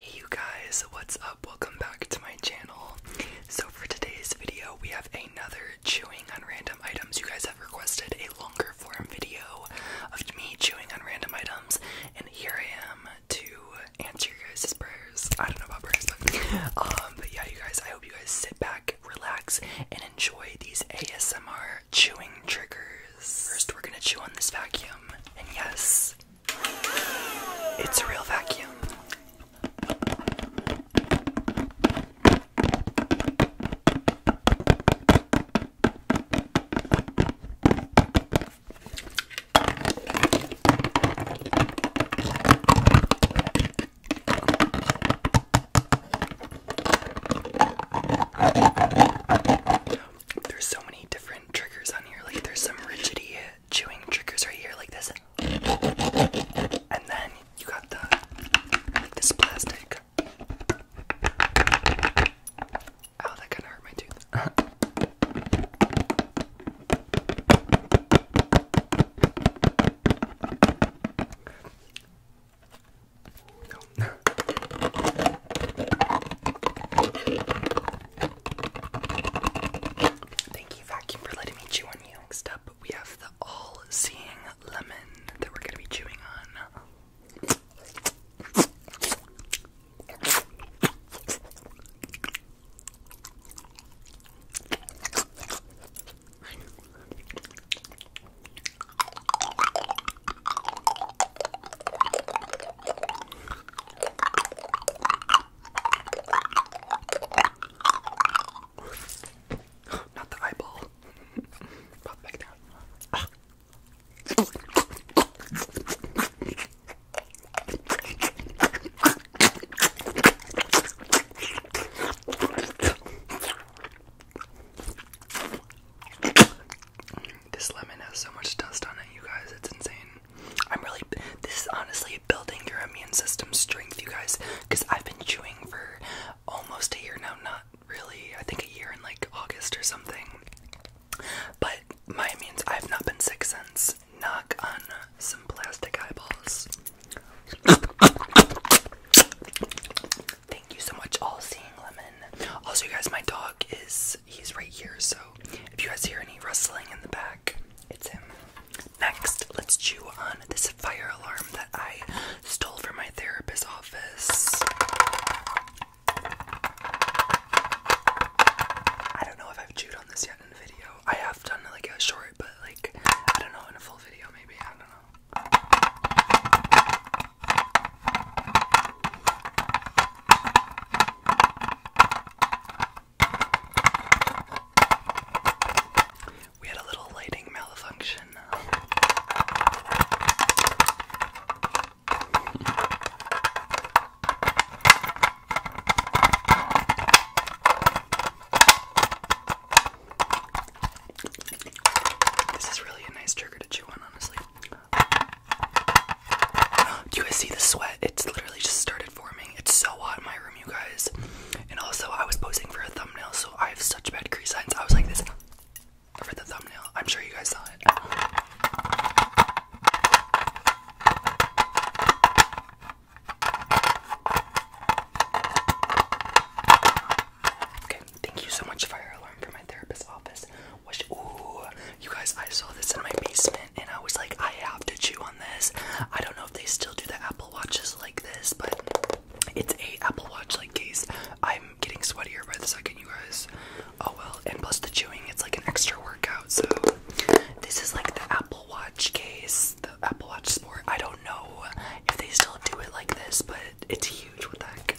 Hey you guys, what's up? Welcome back to my channel. So for today's video, we have another chewing on random items. You guys have requested a longer form video of me chewing on random items, and here I am to answer your guys' prayers. I don't know about prayers, but um, but yeah, you guys, I hope you guys sit back, relax, and enjoy these ASMR chewing triggers. First, we're gonna chew on this vacuum, and yes, it's a real vacuum. There's so many different triggers on here. Like there's some rigid chewing triggers right here like this. And then you got the this plastic. Oh, that kinda hurt my tooth. Thank you, Vacuum, for letting me chew on you. Next up, we have the all seeing lemon that we're going to be chewing on. Not the eyeball. Pop back down. This lemon has so much dust on it, you guys, it's insane. I'm really, this is honestly building your immune system strength, you guys, because I've been chewing for almost a year now, not really, I think a year in like August or something. But my means I have not been sick since. Knock on some plastic eyeballs. Thank you so much, All Seeing Lemon. Also, you guys, my dog is he's right here, so if you guys hear any rustling in the back, it's him. Next, let's chew on this fire alarm that I stole from my therapist's office. I don't know if I've chewed on this yet in a video. I have done like a short, but like I don't know in a full video maybe. I don't know. We had a little lighting malfunction. This is really a nice trigger to chew on, honestly. Do you guys see the sweat? It's literally just started forming. It's so hot in my room, you guys. And also, I was posing for a thumbnail, so I have such bad crease lines. I was like this for the thumbnail. I'm sure you guys saw it. Okay, thank you so much, Fire Alarm, for my therapist's office. ooh, you guys, I saw this in my basement and I was like, I have to chew on this. I don't know if they still do the Apple Watches like this, but it's a Apple Watch like case. I'm getting sweeter by the second, you guys. Oh well, and plus the chewing, it's like an extra workout. So this is like the Apple Watch case, the Apple Watch Sport. I don't know if they still do it like this, but it's huge. What the heck?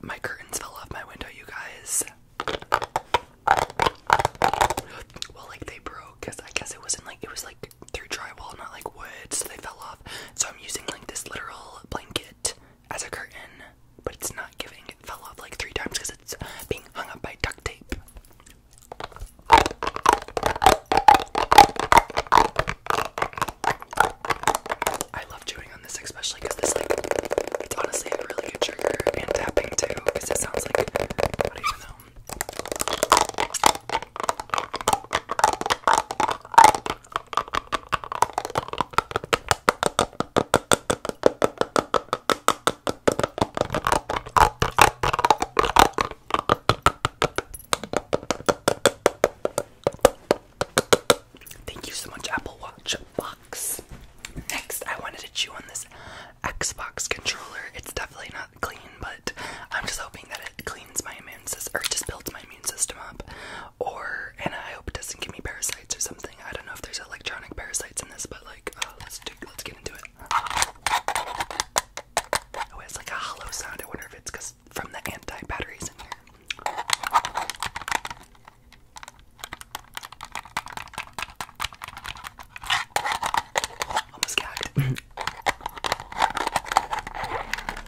My curtains fell off my window, you guys. Well, like they broke because I guess it wasn't like it was like through drywall, not like wood, so they fell off. So I'm using like this literal blanket as a curtain, but it's not giving. It fell off like three times because it's being hung up by duct tape. I love chewing on this, especially because this like it's honestly a really good trigger and tapping too, because it sounds like Thank you so much, Apple Watch Box. Next, I wanted to chew on this Xbox controller. It's definitely not clean, but I'm just hoping that it cleans my immune system or just builds my immune system up or and I hope it doesn't give me parasites or something. I don't know if there's electronic parasites in this, but like, oh, let's do, let's get into it. Oh, it's like a hollow sound. I wonder if it's because from the anti batteries in here. Almost gagged.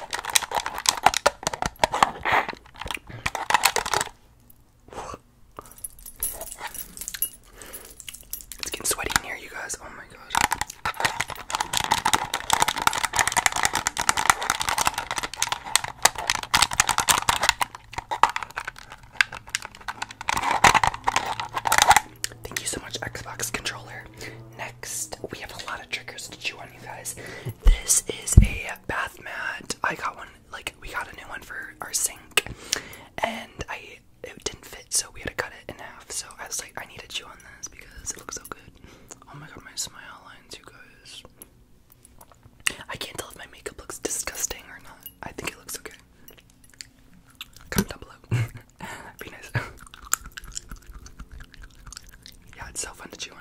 It's getting sweaty in here, you guys. Oh my god. Thank you so much, Xbox controller we have a lot of triggers to chew on, you guys. This is a bath mat. I got one, like, we got a new one for our sink, and I it didn't fit, so we had to cut it in half. So I was like, I need to chew on this because it looks so good. Oh my god, my smile lines, you guys. I can't tell if my makeup looks disgusting or not. I think it looks okay. Comment down below. yeah, it's so fun to chew on.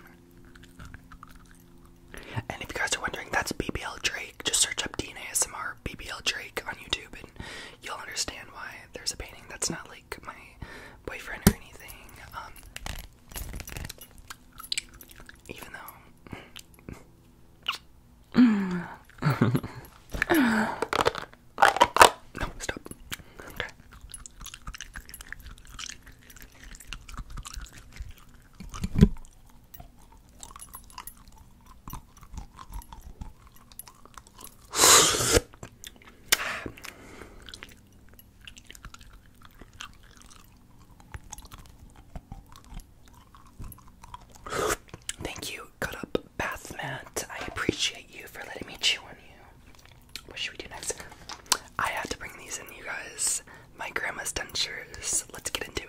And if you guys are wondering, that's BBL Drake. Just search up DNA SMR BBL Drake on YouTube and you'll understand why there's a painting that's not like my boyfriend or anything. Um, even though. No, stop. Okay. Thank you, Cut Up Bath Mat. I appreciate you for letting me chew on you. What should we do next? I had to bring these in, you guys. My grandma's dentures. Let's get into it.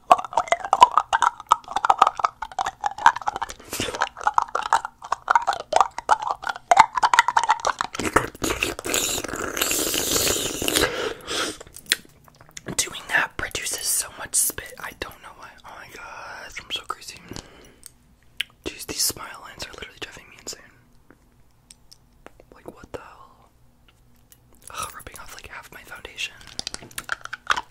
Doing that produces so much spit. I don't know why. Oh my god, I'm so crazy. Jeez, these smile lines are literally driving me insane. Like, what the hell? rubbing off like half my foundation. Ah!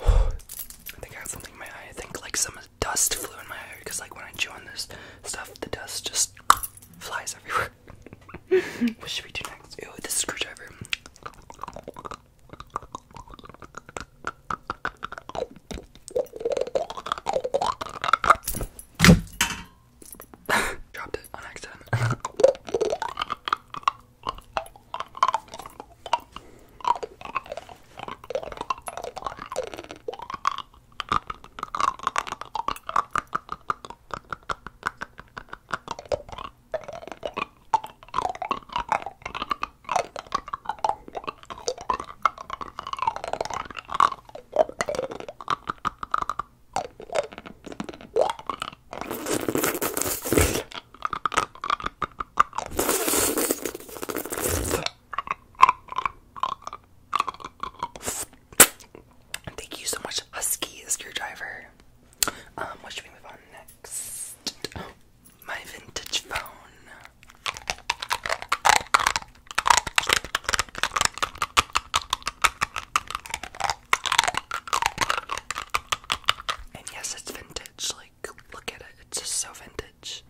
I think I have something in my eye. I think like some dust flew in my eye because like when I chew on this stuff, the dust just flies everywhere. what should we do next? Ew, this screwdriver. Dropped it on accident. Thank you so much, Husky Screwdriver. Um, what should we move on next? my vintage phone. And yes, it's vintage. Like, look at it. It's just so vintage.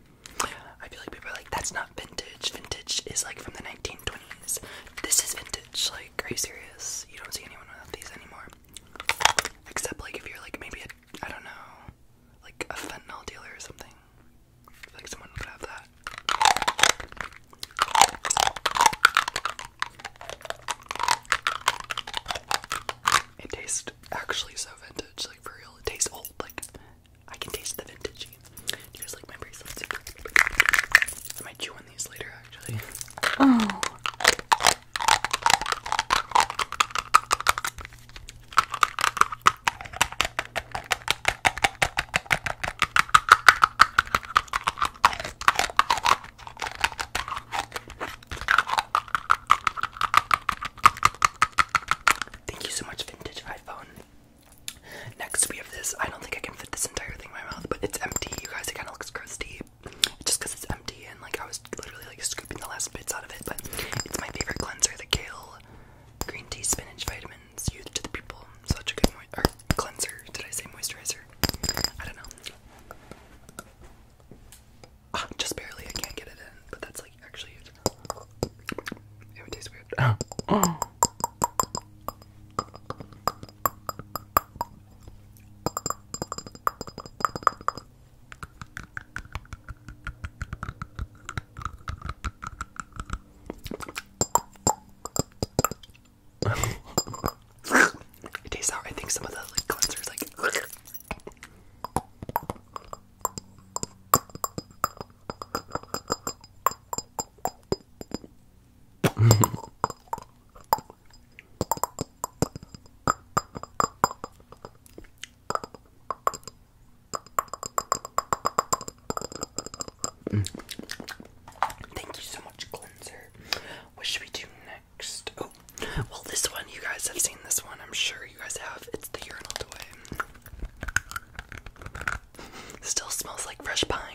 I feel like people are like, that's not vintage. Vintage is like from the 1920s. This is vintage. Like, are you serious? You don't see anyone with these anymore. Except, like, if you're like maybe a I don't know, like a fentanyl dealer or something. Like someone would have that. It tastes actually so vintage, like for real. It tastes old, like I can taste the vintage. Here's like my bracelets. I might chew on these later, actually. Oh. Thank you so much, Vintage iPhone. Next, we have this. I don't think I can fit this entire thing in my mouth, but it's empty. You guys, it kind of looks crusty. Just because it's empty, and like I was literally like scooping the last bits out of it, but it's my favorite cleanser, the kale green tea spinach vitamins youth to the people. Such a good cleanser. Did I say moisturizer? I don't know. Ah, just barely. I can't get it in, but that's like actually it. It would weird. Ah it tastes sour. I think some of the like cleansers like Mm. Thank you so much, cleanser. What should we do next? Oh, well, this one, you guys have seen this one, I'm sure you guys have. It's the urinal toy. Still smells like fresh pine.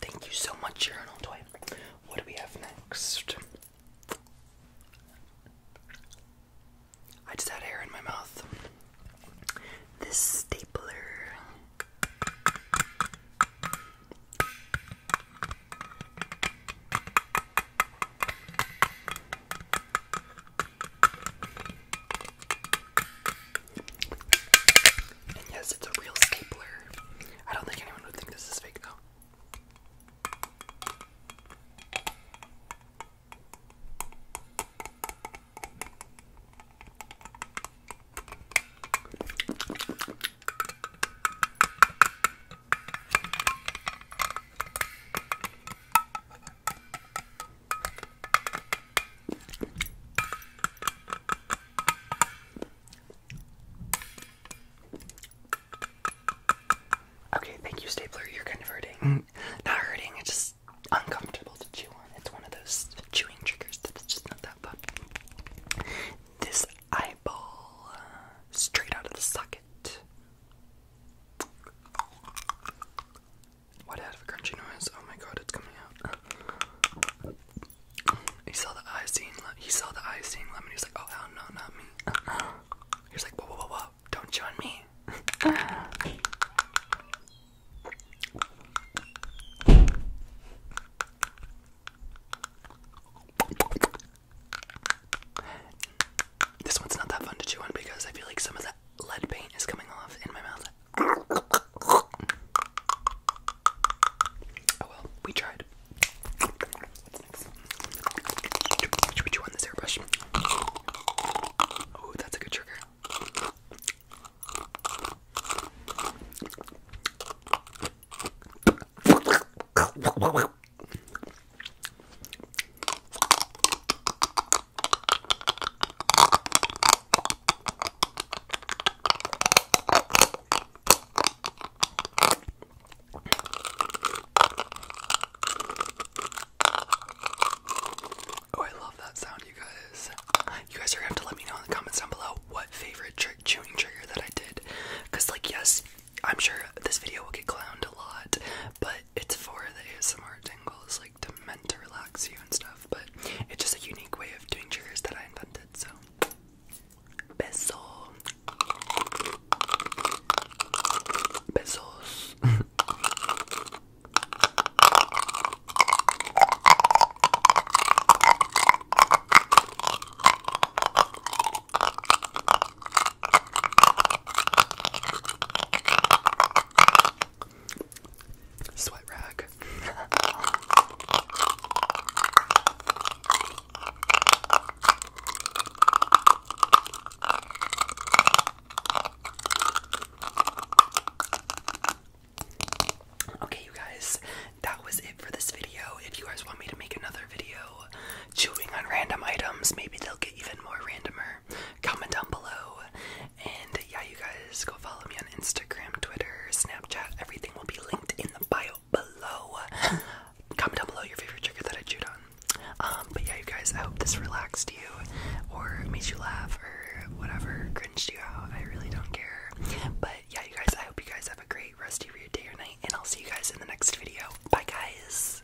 Thank you so much, Journal Toy. What do we have next? I just had air in my mouth. This stapler. And yes, it's a real stapler. I don't think anyone would think this is fake, though. Okay, thank you, Stapler. You're kind of hurting. Mm. Not hurting, it's just uncomfortable to chew on. It's one of those chewing triggers that's just not that fun. This eyeball, uh, straight out of the socket. Why a crunchy noise? Oh my god, it's coming out. He saw the eye scene. He saw the eye scene. Lemon. He was like, "Oh hell no, not me." He was like, "Whoa, whoa, whoa, whoa! Don't join me." This one's not that fun to chew on because I feel like some of that lead paint is coming off in my mouth. Oh well, we tried. Should we chew on this airbrush? Oh, that's a good trigger. Oh, I love that sound, you guys. You guys are gonna let me know in the comments down below what favorite trick chewing trigger that I did. Because, like, yes, I'm sure this video will get clowned a lot, but it's for the ASMR tingles, like to meant to relax you and stuff, but it's just a unique way of doing triggers that I invented, so bezel bezels Sweat rag. okay, you guys, that was it for this video. If you guys want me to make another video chewing on random items, maybe they'll get even more randomer. Comment down below. And yeah, you guys go follow me on Instagram, Twitter, Snapchat. Everything will be linked in the bio below. Comment down below your favorite trigger that I chewed on. Um, but yeah, you guys, I hope this relaxed you or made you laugh or whatever, cringed you out. I really don't care. But yeah, you guys, I hope you guys have a great rest of your day or night, and I'll see you guys in the next video. Bye, guys.